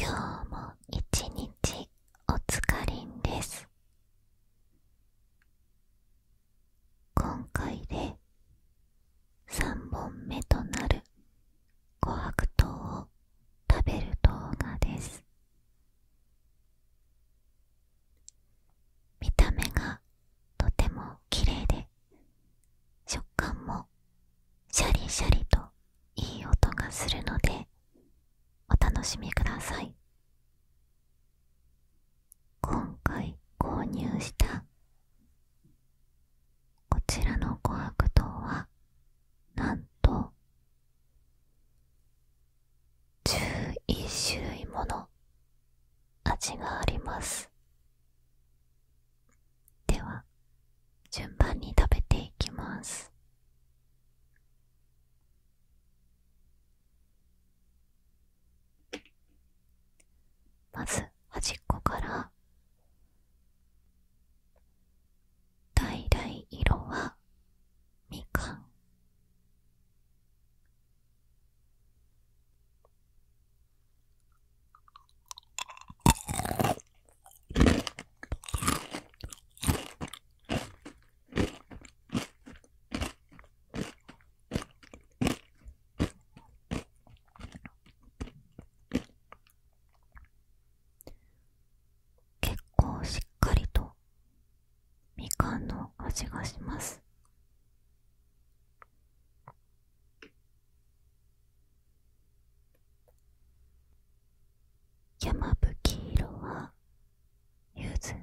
今日も一日お疲れんです。今回で3本目となる琥珀糖を食べる動画です見た目がとても綺麗で食感もシャリシャリといい音がするのでお楽しみください今回購入したこちらの琥珀糖はなんと11種類もの味がありますでは順番に食べていきますまず端っこから橙色はみかん結構しっかりとみかんの味がします山吹色はゆず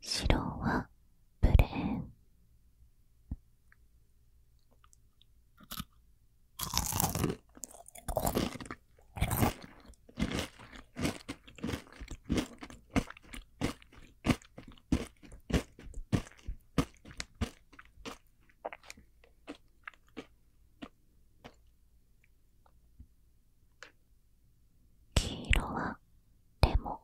白はプレーン黄色はでも。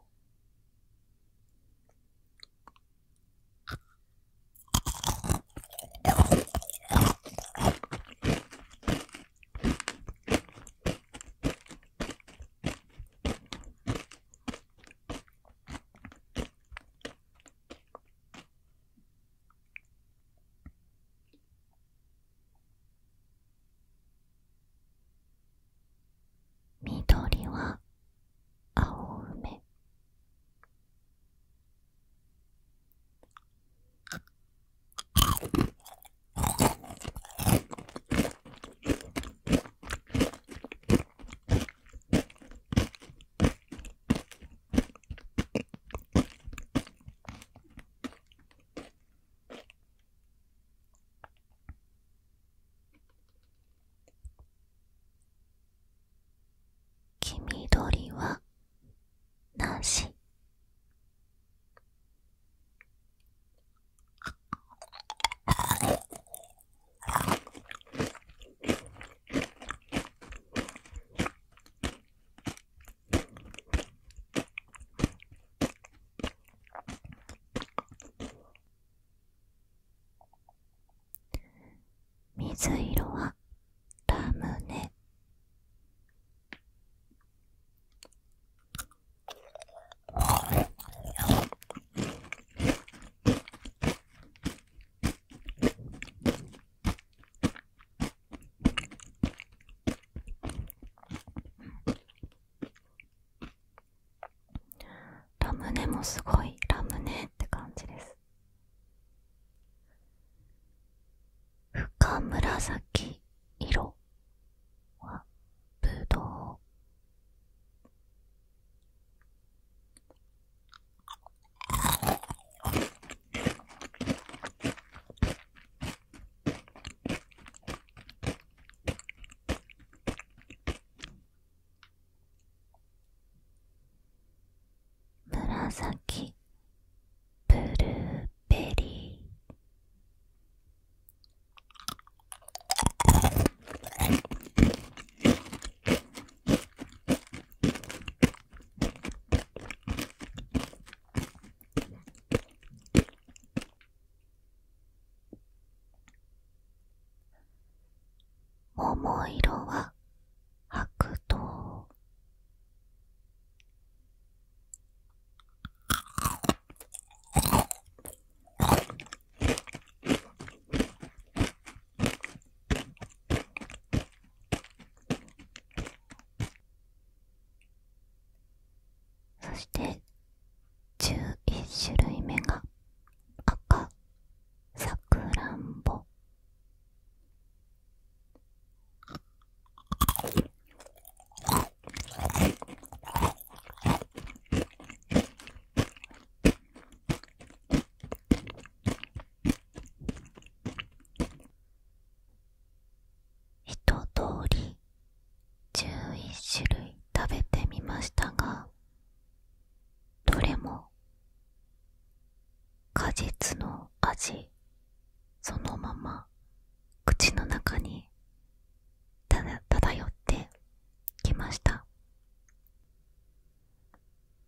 緑は青梅黄緑はなし水色はラムネラムネもすごいラムネって感じです深紫色はぶどう紫ブルーベリー桃色は白桃そして11種類目が赤さくらんぼ一通り11種類食べてみましたがどれも果実の味そのまま口の中にただ漂ってきました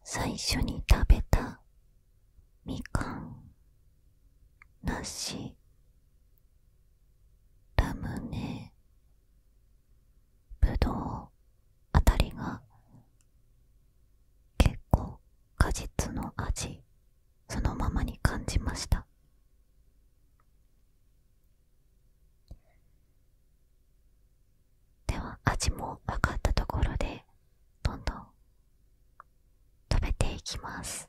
最初に食べたみかん梨ラムネぶどうあたりが結構果実の味そのままに感じましたでは味も分かったところでどんどん食べていきます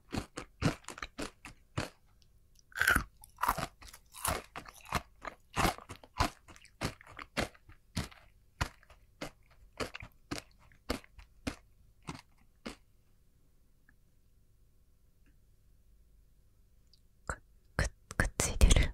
くっついてる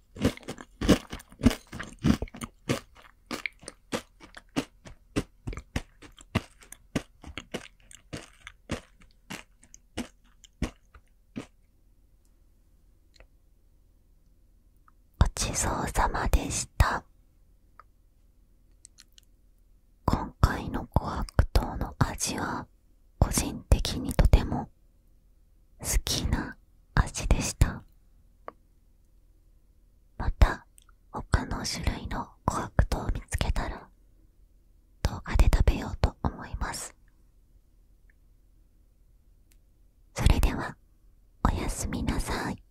ごちそうさまでした今回の琥珀糖の味は個人的にとても好きな味でしたまた他の種類の琥珀糖を見つけたら動画で食べようと思いますそれではおやすみなさい